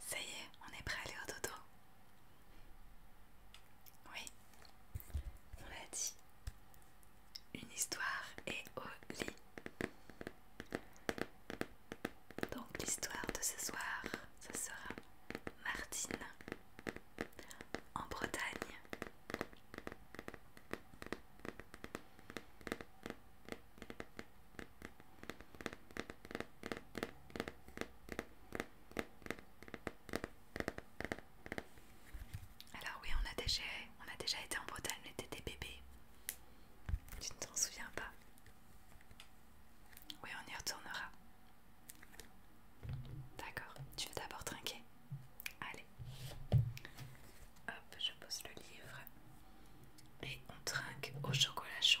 Ça y est, on est prêt à aller au dodo Oui, on l'a dit. Une histoire est au lit. Donc l'histoire de ce soir, ce sera Martine en Bretagne. Alors oui, on a déjà, on a déjà été en Bretagne, mais était des bébés. Tu ne t'en souviens pas Oui, on y retournera. D'accord, tu veux d'abord trinquer Allez. Hop, je pose le livre. Et on trinque au chocolat chaud.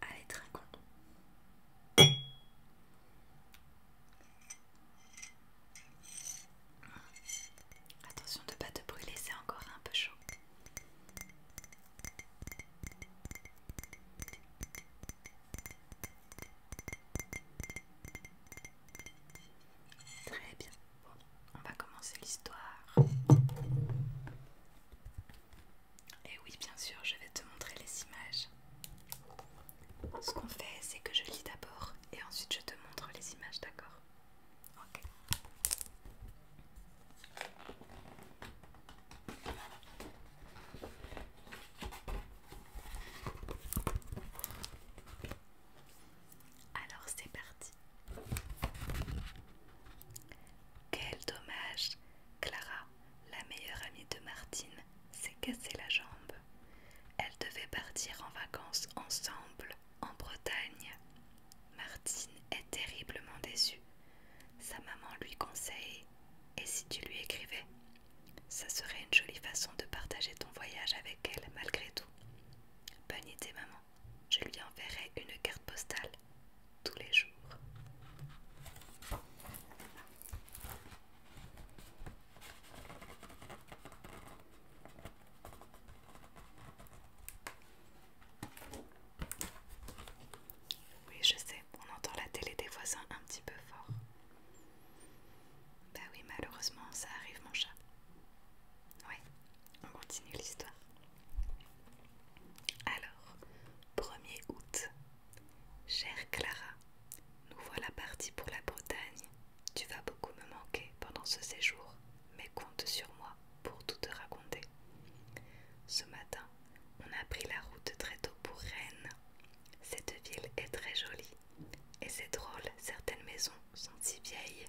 Allez, con. Attention de ne pas te brûler, c'est encore un peu chaud. Très bien. Bon, on va commencer l'histoire. Et eh oui, bien sûr, je vais te montrer les images. Ce qu'on fait, c'est que je lis d'abord et ensuite je te montre les images, d'accord Ok. Alors c'est parti. Quel dommage Clara, la meilleure amie de Martine, s'est cassée la jambe. Elle devait partir en vacances ensemble en Bretagne. Martine est terriblement déçue. Sa maman lui conseille Et si tu lui écrivais Ça serait une jolie façon de partager ton voyage avec elle malgré tout. Bonne idée, maman je lui enverrai une carte postale tous les jours. Oui, je sais, on entend la télé des voisins un petit peu fort. Bah oui, malheureusement, ça arrive mon chat. Oui, on continue l'histoire. Alors, 1er août. Chère Clara, nous voilà partis pour la Bretagne. Tu vas beaucoup me manquer pendant ce séjour, mais compte sur moi pour tout te raconter. Ce matin, on a pris la route très tôt pour Rennes. Cette ville est très jolie, et c'est drôle, certaines maisons sont si vieilles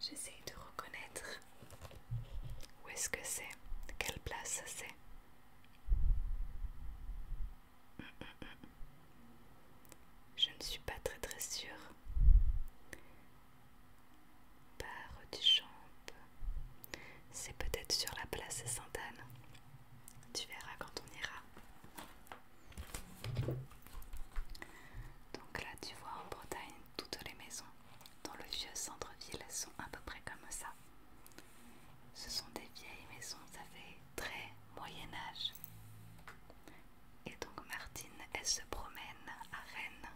J'essaye de reconnaître où est-ce que c'est, quelle place c'est. Je ne suis pas très très sûre. Par du champ. C'est peut-être sur la place Sainte-Anne. Tu verras quand on ira. Donc là, tu vois, en Bretagne, toutes les maisons dans le vieux centre-ville sont à peu près comme ça. Ce sont des vieilles maisons, ça fait très Moyen Âge. Et donc Martine, elle se promène à Rennes.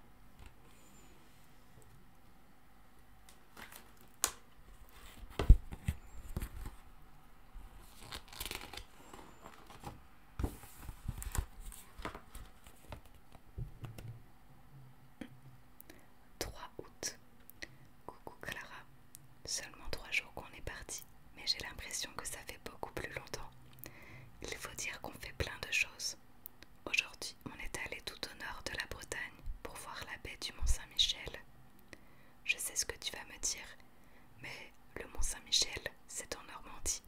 3 août. Coucou Clara. Seulement trois jours qu'on est parti, mais j'ai l'impression que ça fait beaucoup plus longtemps. Il faut dire qu'on fait plein de choses. Aujourd'hui, on est allé tout au nord de la Bretagne pour voir la baie du Mont-Saint-Michel. Je sais ce que tu vas me dire, mais le Mont Saint-Michel, c'est en Normandie.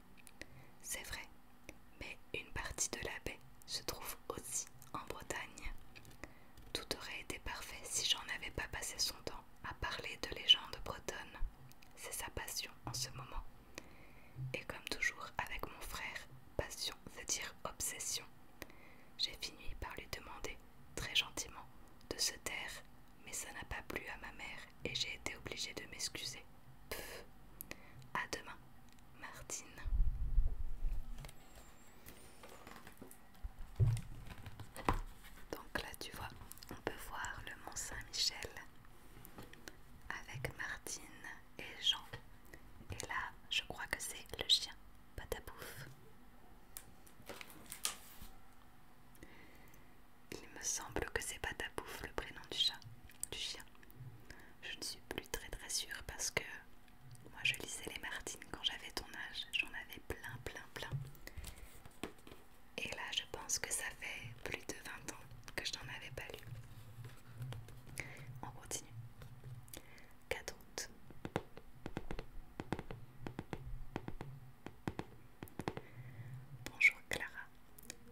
C'est vrai, mais une partie de la baie se trouve aussi en Bretagne. Tout aurait été parfait si j'en avais pas passé son temps à parler de légendes bretonnes. C'est sa passion en ce moment. Et comme toujours avec mon frère, passion cest à dire obsession. J'ai fini par lui demander, très gentiment, de se taire, mais ça n'a pas plu à ma mère et j'ai été obligée de m'excuser. À demain, Martine. Donc là, tu vois, on peut voir le Mont Saint-Michel avec Martine et Jean. Et là, je crois que c'est le chien, Patapouf. Il me semble que c'est pas ta bouffe le prénom du chat, du chien. Je ne suis plus très très sûre parce que moi je lisais les Martines quand j'avais ton âge, j'en avais plein plein plein. Et là je pense que ça fait plus de 20 ans que je n'en avais pas lu. On continue. 4 août. Bonjour Clara,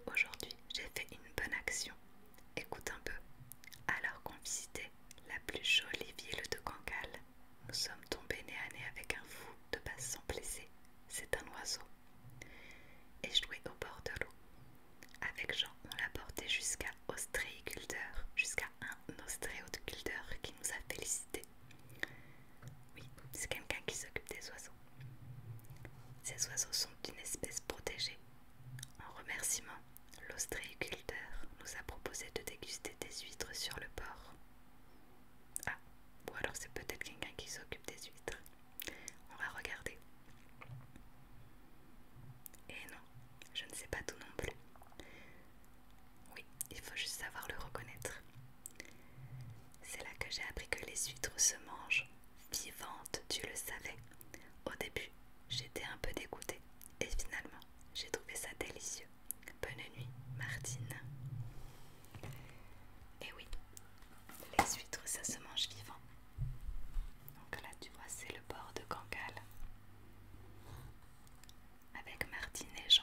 aujourd'hui j'ai fait une bonne action. Écoute un peu. Alors qu'on visitait la plus jolie ville de Cancale, nous sommes tombés nez à nez avec un fou de passe sans blessé. C'est un oiseau. Et je joué au bord de l'eau. Avec Jean, on l'a porté jusqu'à Ostréiculteur, jusqu'à un ostréoculteur qui nous a félicités. Oui, c'est quelqu'un qui s'occupe des oiseaux. Ces oiseaux sont une espèce protégée. En remerciement, l'ostréiculteur nous a proposé de déguster des huîtres sur le port. Ah, ou alors c'est peut-être quelqu'un qui s'occupe des huîtres. On va regarder. Et eh non, je ne sais pas tout non plus. Oui, il faut juste savoir le reconnaître. C'est là que j'ai appris que les huîtres se mangent vivantes, tu le savais. Au début, j'étais un peu dégoûtée et finalement, j'ai trouvé ça délicieux. Bonne nuit, Martine. Et eh oui, les huîtres, ça se mange vivant. Donc là, tu vois, c'est le bord de Cancale avec Martine et Jean.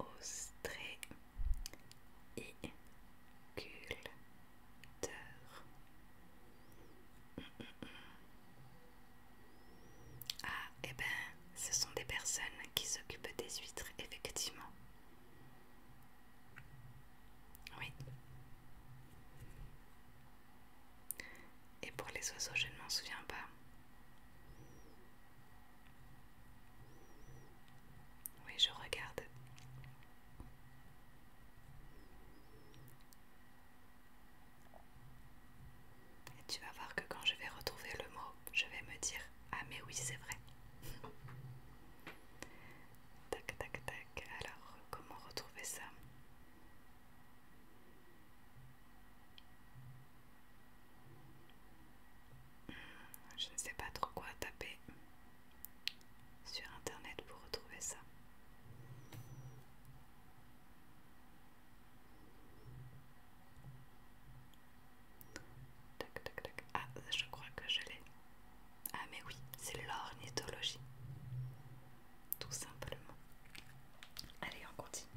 ostréiculteur. Ah, et eh ben, ce sont des personnes qui s'occupent des huîtres, effectivement. Oui. Et pour les oiseaux, je ne m'en souviens pas. Oui, je regarde. Et tu vas voir que quand je vais retrouver le mot, je vais me dire Ah mais oui, c'est vrai. tac, tac, tac. Alors, comment retrouver ça je ne sais pas trop quoi taper sur internet pour retrouver ça. Ah, je crois que je l'ai. Ah, mais oui, c'est l'ornithologie. Tout simplement. Allez, on continue.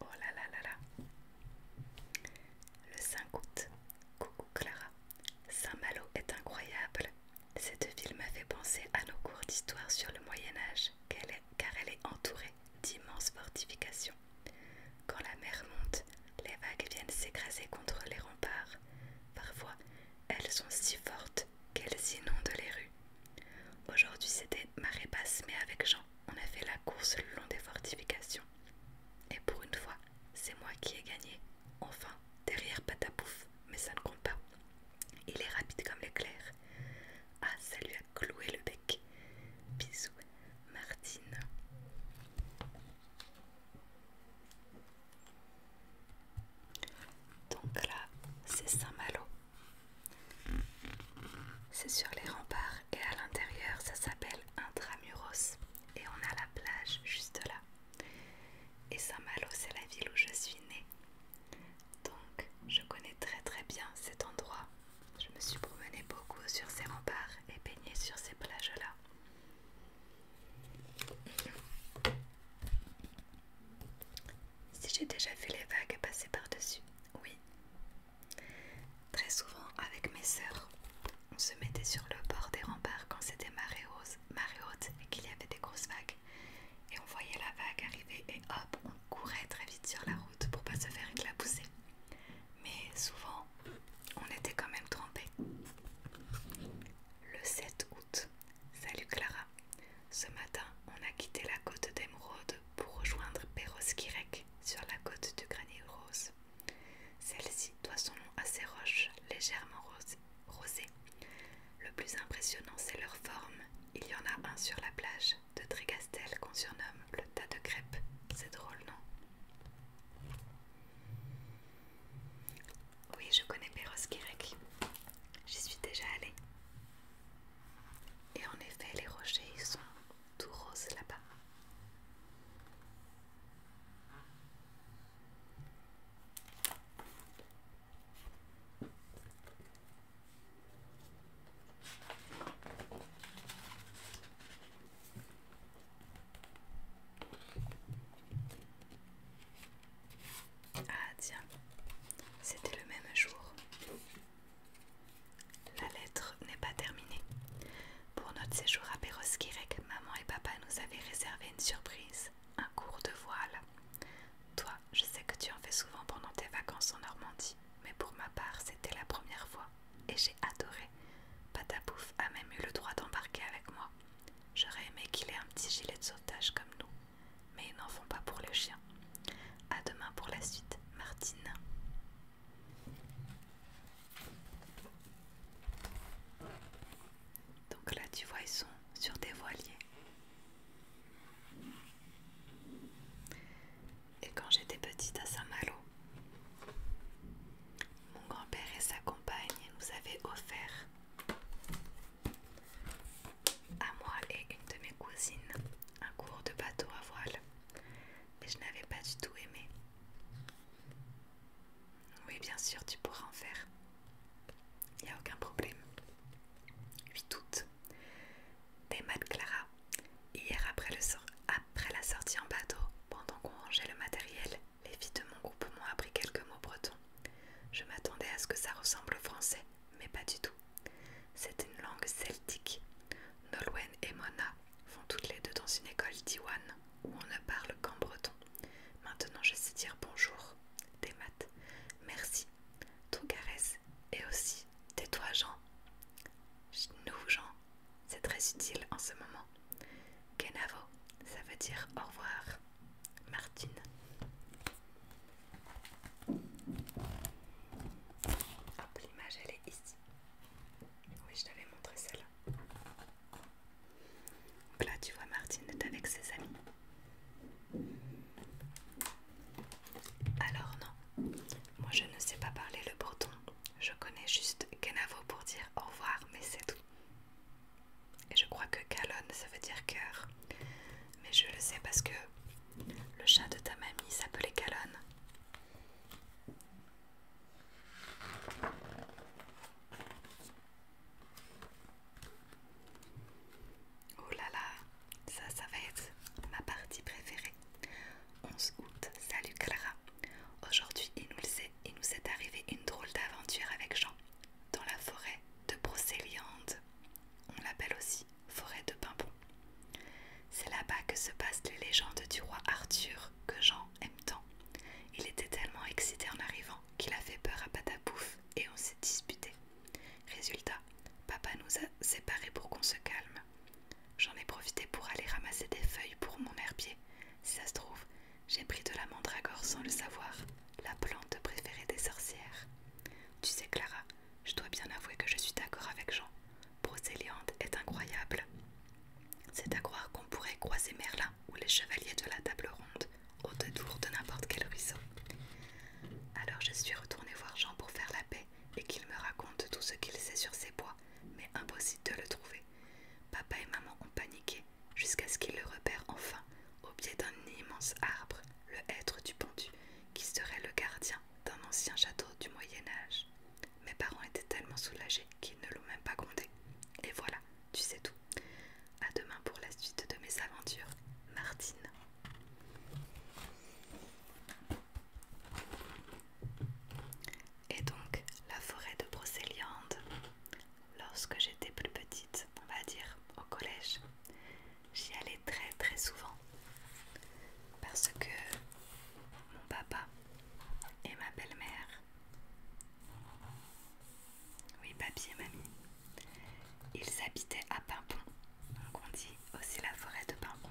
Oh là là là là. Le 5 août. Coucou Clara. Saint-Malo est incroyable. Cette ville m'a fait penser à nos cours d'histoire sur le Moyen Âge, car elle est entourée d'immenses fortifications. Quand la mer monte, les vagues viennent s'écraser contre les remparts. Parfois, elles sont si fortes qu'elles inondent les rues. Aujourd'hui, c'était marée basse, mais avec Jean, on a fait la course le long des fortifications. Et pour une fois, c'est moi qui ai gagné. Enfin, derrière Patapouf, mais ça ne compte pas. Il est rapide comme l'éclair. Ah, ça lui a cloué le bec. Bisous, Martine. Donc là, c'est Saint-Malo. C'est sur les remparts et à l'intérieur, ça s'appelle Intramuros. Et on a la plage juste là. Et Saint-Malo, c'est la ville où je suis née. Donc, je connais très très bien cet endroit. Je me suis promenée beaucoup sur ces remparts et baignée sur ces plages-là. Si j'ai déjà vu les vagues passer par-dessus, oui. Très souvent, avec mes sœurs, on se mettait sur le bord des remparts quand c'était marée haute et qu'il y avait des grosses vagues. Et on voyait la vague arriver et hop, on courait très vite sur la route pour pas se faire éclabousser mais souvent on était quand même trempés. Le 7 août, salut Clara. Ce matin, on a quitté la côte d'Émeraude pour rejoindre perros sur la côte du Granier Rose. Celle-ci doit son nom à ses roches légèrement rosées. Le plus impressionnant, c'est leur forme. Il y en a un sur la plage de Trégastel qu'on surnomme le tas de crêpes. C'est drôle, non oui, je connais perros J'y suis déjà allée. Et en effet, les rochers ils sont tout roses là-bas. Ah tiens, c'était le même jour. La lettre n'est pas terminée. Pour notre séjour à Perros-Kirek, maman et papa nous avaient réservé une surprise, un cours de voile. Toi, je sais que tu en fais souvent pendant tes vacances en Normandie, mais pour ma part, c'était la première fois et j'ai adoré. Patapouf a même eu le droit d'embarquer avec moi. J'aurais aimé qu'il ait un petit gilet de sauvetage comme nous, mais ils n'en font pas pour les chiens A demain pour la suite, Martine. Donc là, tu vois, ils sont sur des voiliers et quand j'étais petite à Saint-Malo. Mon grand-père et sa compagne nous avaient offert à moi et une de mes cousines un cours de bateau à voile, mais je n'avais pas du tout aimé. Oui, bien sûr, tu pourras en faire. Il n'y a aucun problème. 8 août. Des Clara. Hier après le, sort. Après la sortie en bateau, pendant qu'on rangeait le matériel, les filles de mon groupe m'ont appris quelques mots bretons. Je m'attendais à ce que ça ressemble au français, mais pas du tout. C'est une langue celtique. Nolwenn et Mona vont toutes les deux dans une école d'Iwan où on ne parle qu'en breton. Maintenant je sais dire bonjour, des maths, merci, tout caresse et aussi tais-toi, Jean. nous, Jean, c'est très utile en ce moment. Kenavo, ça veut dire au revoir. Martine. Hop, l'image elle est ici. Oui, je t'avais montré celle-là. Donc là, tu vois, Martine est avec ses amis. Alors non, moi je ne sais pas parler le breton. Je connais juste Kenavo pour dire au revoir, mais c'est tout. Et je crois que Calonne, ça veut dire cœur. Mais je le sais parce que le chat de ta mamie s'appelait Calonne. Oh là là, ça, ça va être ma partie préférée. 11 août, salut Clara. Aujourd'hui, il nous, est, il nous est arrivé une drôle d'aventure avec Jean, dans la forêt de Brocéliande. On l'appelle aussi forêt de Pimpon. C'est là-bas que se passent les légendes du roi Arthur que Jean aime tant. Il était tellement excité en arrivant qu'il a fait peur à Patapouf et on s'est disputé. Résultat, papa nous a séparés pour qu'on se calme. J'en ai profité pour aller ramasser des feuilles pour mon herbier. Si ça se trouve, j'ai pris de la mandragore sans le savoir, la plante préférée des sorcières. Tu sais, Clara, je dois bien avouer que je suis d'accord avec Jean. procéliante est incroyable. C'est à croire qu'on pourrait croiser Merlin ou les chevaliers de la table ronde au détour de n'importe quel ruisseau. Alors je suis retournée voir Jean pour faire la paix et qu'il me raconte tout ce qu'il sait sur ces bois mais impossible de le trouver. Papa et maman ont paniqué jusqu'à ce qu'ils le repèrent enfin au pied d'un immense arbre, le hêtre du pendu, qui serait le gardien d'un ancien château du Moyen Âge. Mes parents étaient tellement soulagés qu'ils ne l'ont même pas compté. Et voilà, tu sais tout. A demain pour la suite de mes aventures, Martine. Et donc la forêt de Brocéliande, lorsque j'étais plus petite, on va dire au collège, j'y allais très très souvent parce que mon papa et ma belle-mère, oui papy et mamie, ils habitaient à Pimpon, donc on dit aussi la forêt de Pimpon.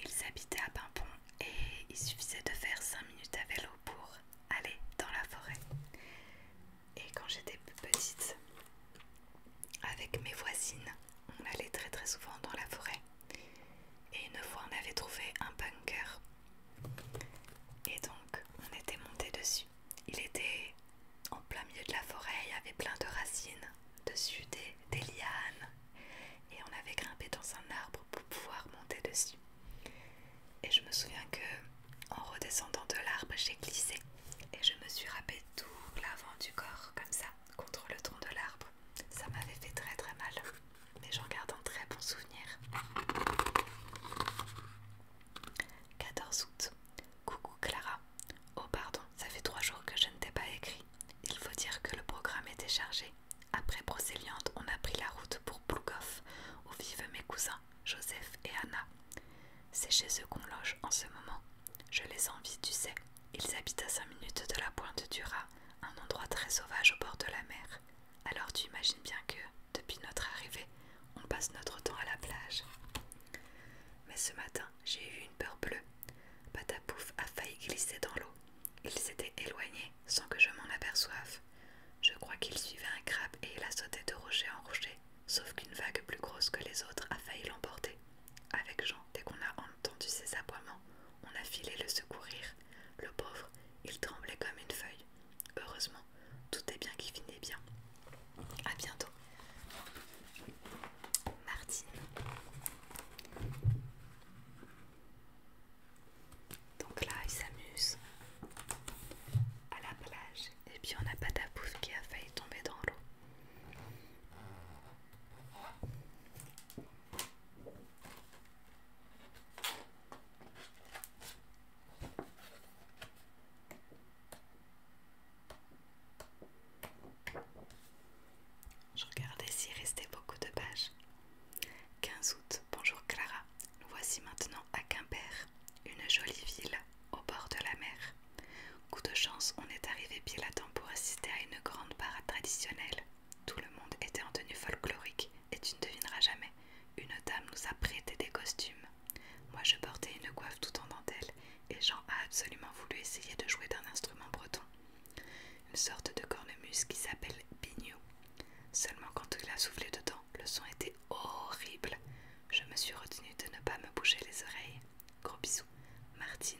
Ils habitaient à Pimpon et il suffisait de faire 5 minutes à vélo pour aller dans la forêt. Et quand j'étais petite, avec mes voisines, on allait très très souvent dans la forêt. Et une fois, on avait trouvé un bunker. Et donc, on était monté dessus. Il était en plein milieu de la forêt, il y avait plein de racines, dessus des, des lianes, et on avait grimpé dans un arbre pour pouvoir monter dessus. Et je me souviens que, en redescendant de l'arbre, j'ai glissé et je me suis râpé tout l'avant du corps, comme ça, contre le tronc de l'arbre. Ça m'avait fait très très mal, mais j'en garde un très bon souvenir. 14 août. Coucou Clara. Oh pardon, ça fait trois jours que je ne t'ai pas écrit. Il faut dire que le programme était chargé. Après Brocéliande, on a pris la route pour Plougoff, où vivent mes cousins, Joseph et Anna. C'est chez eux qu'on loge en ce moment. Je les envie, tu sais. Ils habitent à cinq minutes de la pointe du Rat, un endroit très sauvage au bord de la mer. Alors tu imagines bien que, depuis notre arrivée, on passe notre temps à la plage. Mais ce matin, j'ai eu une peur bleue Patapouf a failli glisser dans l'eau. Il s'était éloigné sans que je m'en aperçoive. Je crois qu'il suivait un crabe et il a sauté de rocher en rocher, sauf qu'une vague plus grosse que les autres a failli l'emporter. Avec Jean, dès qu'on a entendu ses aboiements, on a filé le secourir. Le pauvre, il tremblait comme une feuille. Heureusement, tout est bien qui finit bien à bientôt. Martine. Donc là, il s'amuse à la plage. Et puis on n'a pas ta bouffe qui a failli tomber dans l'eau. Je regardais s'il restait beaucoup de pages. 15 août, bonjour Clara. Nous voici maintenant à Quimper, une jolie ville au bord de la mer. Coup de chance, on est arrivé pile à temps pour assister à une grande parade traditionnelle. Tout le monde était en tenue folklorique et tu ne devineras jamais. Une dame nous a prêté des costumes. Moi je portais une coiffe tout en dentelle et Jean a absolument voulu essayer de jouer d'un instrument breton, une sorte de cornemuse qui s'appelle bignou. Seulement quand il a soufflé dedans, le son était horrible. Je me suis retenue de ne pas me bouger les oreilles. Gros bisous, Martine.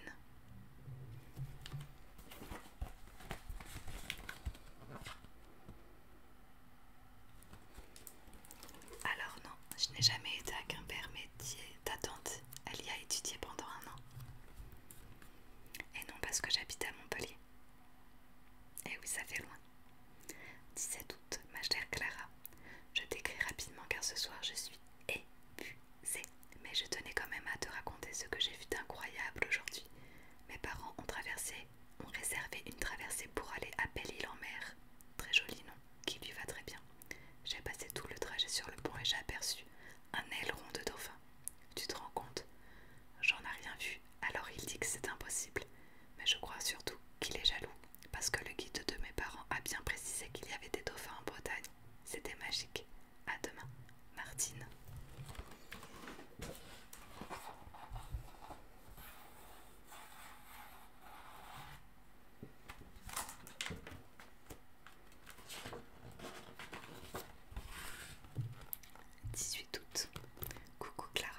Alors non, je n'ai jamais été à Quimper, père elle y a étudié pendant un an. Et non parce que j'habite à Montpellier. Et eh oui, ça fait loin. 17 août, ma chère Clara. Je t'écris rapidement car ce soir je suis épuisée. Mais je tenais quand même à te raconter ce que j'ai vu d'incroyable aujourd'hui. Mes parents ont traversé, ont réservé une traversée pour aller à Belle-Île en mer. Très joli non qui lui va très bien. J'ai passé tout le trajet sur le pont et j'ai aperçu un aileron de dauphin. Tu te rends compte J'en ai rien vu, alors il dit que c'est impossible. Mais je crois surtout qu'il est jaloux, parce que le guide de mes parents a bien précisé qu'il y avait des dauphins en Bretagne. C'était magique. À demain, Martine. 18 août. Coucou Clara.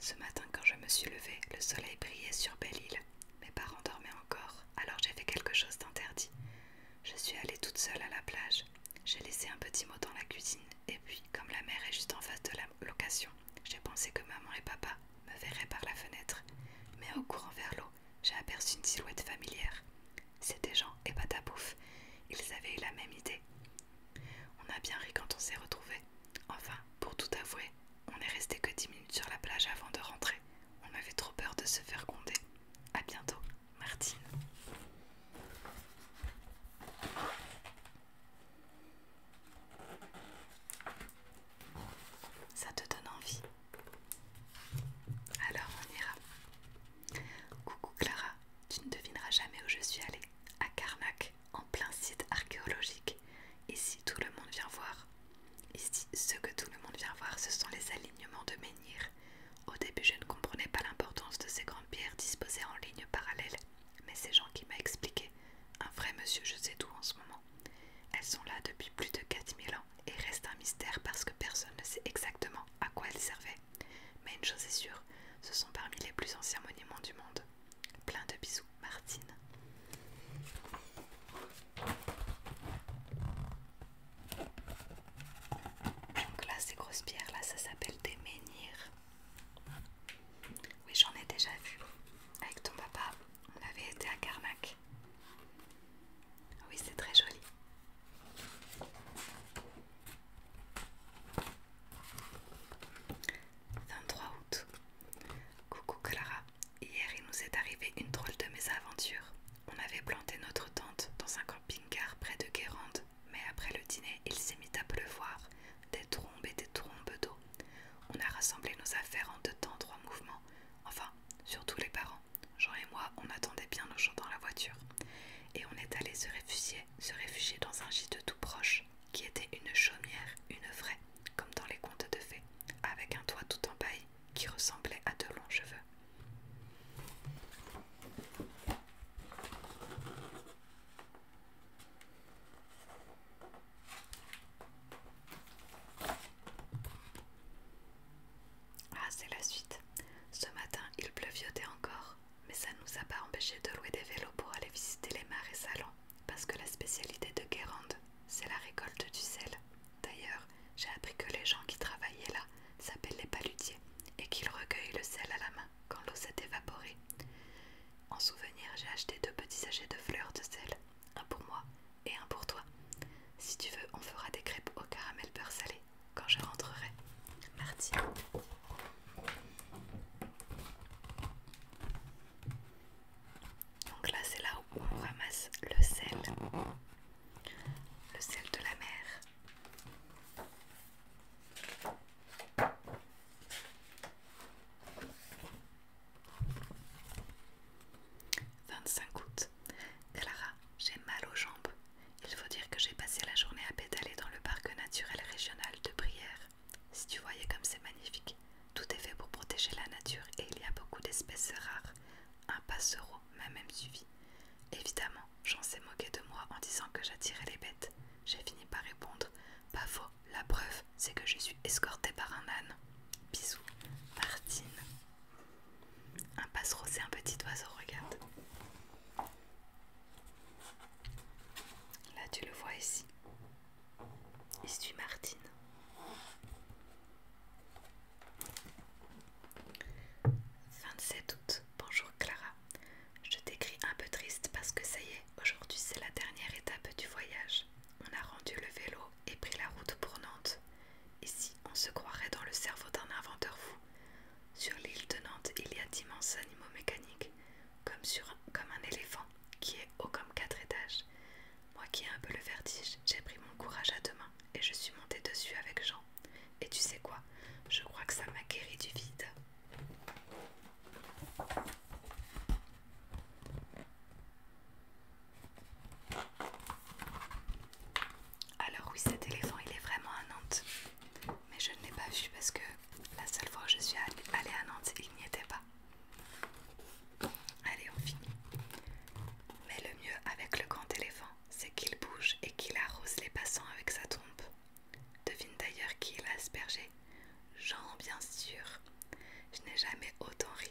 Ce matin quand je me suis levée, le soleil brillait sur Belle-Île. Mes parents dormaient encore, alors j'ai fait quelque chose d'interdit. Je suis allée toute seule à la plage. J'ai laissé un petit mot dans la cuisine et puis, comme la mer est juste en face de la location, j'ai pensé que maman et papa me verraient par la fenêtre. Mais au courant vers l'eau, j'ai aperçu une silhouette familière. C'était Jean et Patapouf. Ils avaient eu la même idée. On a bien ri quand on s'est retrouvés. Enfin, pour tout avouer, on n'est resté que 10 minutes sur la plage avant de rentrer. On avait trop peur de se faire gronder. A bientôt, Martine. Ça te donne envie alors on ira. Coucou Clara, tu ne devineras jamais où je suis allée. À Karnak, en plein site archéologique. Ici tout le monde vient voir. Ici, ce que tout le monde vient voir, ce sont les alignements de menhirs. Au début, je ne comprenais pas l'importance de ces grandes pierres disposées en ligne parallèle. mais c'est Jean qui m'a expliqué. Un vrai monsieur, je sais d'où en ce moment, elles sont là depuis plus de 4000 ans et restent un mystère parce que personne ne sait exactement à quoi elles servaient. Mais une chose est sûre, ce sont parmi les plus anciens monuments du monde. Plein de bisous, Martine. Donc là, ces grosses pierres, là, ça s'appelle des menhirs. Oui, j'en ai déjà vu. Avec ton papa, on avait été à Carnac. Oui, c'est très joli. « 23 août. Coucou Clara. Hier, il nous est arrivé une drôle de mésaventure. On avait planté notre tente dans un camping-car près de Guérande, mais après le dîner, il s'est mis à pleuvoir, des trombes et des trombes d'eau. On a rassemblé nos affaires en deux temps, trois mouvements, Enfin, Enfin, surtout les parents. Jean et moi, on attendait bien nos gens dans la voiture. Et on est allé se réfugier, se réfugier dans un gîte tout proche, qui était une chaumière, une vraie, comme dans les contes de fées, avec un toit tout en paille qui ressemblait à de longs cheveux. Ah, c'est la suite. Ce matin, il pleuviotait encore, mais ça ne nous a pas empêché de louer des vélos pour aller visiter les marais salons parce que la spécialité de Guérande, c'est la récolte du sel. D'ailleurs, j'ai appris que les gens qui travaillaient là s'appellent les palutiers et qu'ils recueillent le sel à la main quand l'eau s'est évaporée. En souvenir, j'ai acheté deux petits sachets de fleurs de sel un pour moi et un pour toi. Si tu veux, on fera des crêpes au caramel beurre salé quand je rentrerai. Mardi. Donc là, c'est là où on ramasse le sel, le sel de la mer. 25 août. Clara, j'ai mal aux jambes. Il faut dire que j'ai passé la journée à pédaler dans le parc naturel régional de Brière. Si tu voyais comme c'est magnifique, tout est fait pour protéger la nature et il y a beaucoup d'espèces rares. Un passereau m'a même suivi. Évidemment, j'en s'est moqué de moi en disant que j'attirais les bêtes. J'ai fini par répondre Pas faux, la preuve, c'est que je suis escortée par un âne. Bisous, Martine. Un passereau, c'est un petit oiseau, regarde. Là, tu le vois ici. Il suit Martine. « 27 août. Bonjour Clara. Je t'écris un peu triste parce que ça y est, aujourd'hui c'est la dernière étape du voyage. On a rendu le vélo et pris la route pour Nantes. Ici, on se croirait dans le cerveau d'un inventeur fou. Sur l'île de Nantes, il y a d'immenses animaux mécaniques, comme, sur comme un éléphant, qui est haut comme quatre étages. Moi qui ai un peu le vertige, j'ai pris mon courage à deux mains et je suis montée dessus avec Jean. Et tu sais quoi Je crois que ça m'a guéri du vide. Alors oui, cet éléphant, il est vraiment à Nantes. Mais je ne l'ai pas vu parce que la seule fois que je suis allée à Nantes, il n'y était pas. Allez, on finit. Mais le mieux avec le grand éléphant, c'est qu'il bouge et qu'il arrose les passants avec sa trompe. Devine d'ailleurs qui l'a aspergé. Jean, bien sûr. Je n'ai jamais autant ri.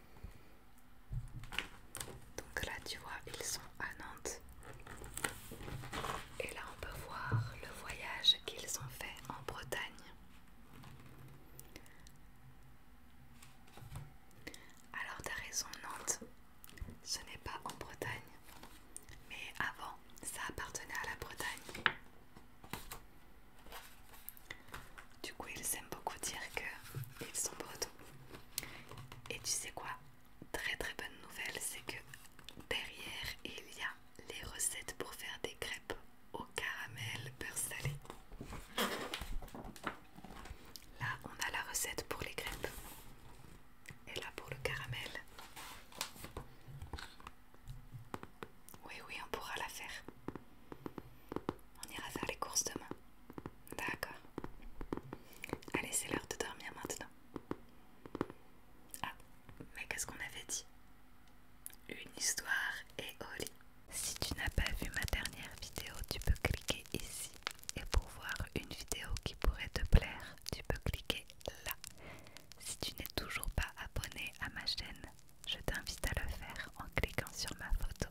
Donc là tu vois ils sont à Nantes. Et là on peut voir le voyage qu'ils ont fait en Bretagne. Alors t'as raison Nantes, ce n'est pas en Bretagne. Mais avant, ça appartenait à la Bretagne. Du coup, ils aiment beaucoup dire qu'ils sont bretons. Et tu sais quoi Très très bonne nouvelle, c'est que derrière il y a les recettes pour faire des crêpes au caramel beurre salé. Là, on a la recette pour les crêpes. Et là pour le caramel. Oui, oui, on pourra la faire. On ira faire les courses demain. D'accord. Allez, c'est l'heure de dormir maintenant. Ah, mais qu'est-ce qu'on avait dit Une histoire et au Si tu n'as pas vu ma dernière vidéo, tu peux cliquer ici. Et pour voir une vidéo qui pourrait te plaire, tu peux cliquer là. Si tu n'es toujours pas abonné à ma chaîne, je t'invite à le faire en cliquant sur ma photo.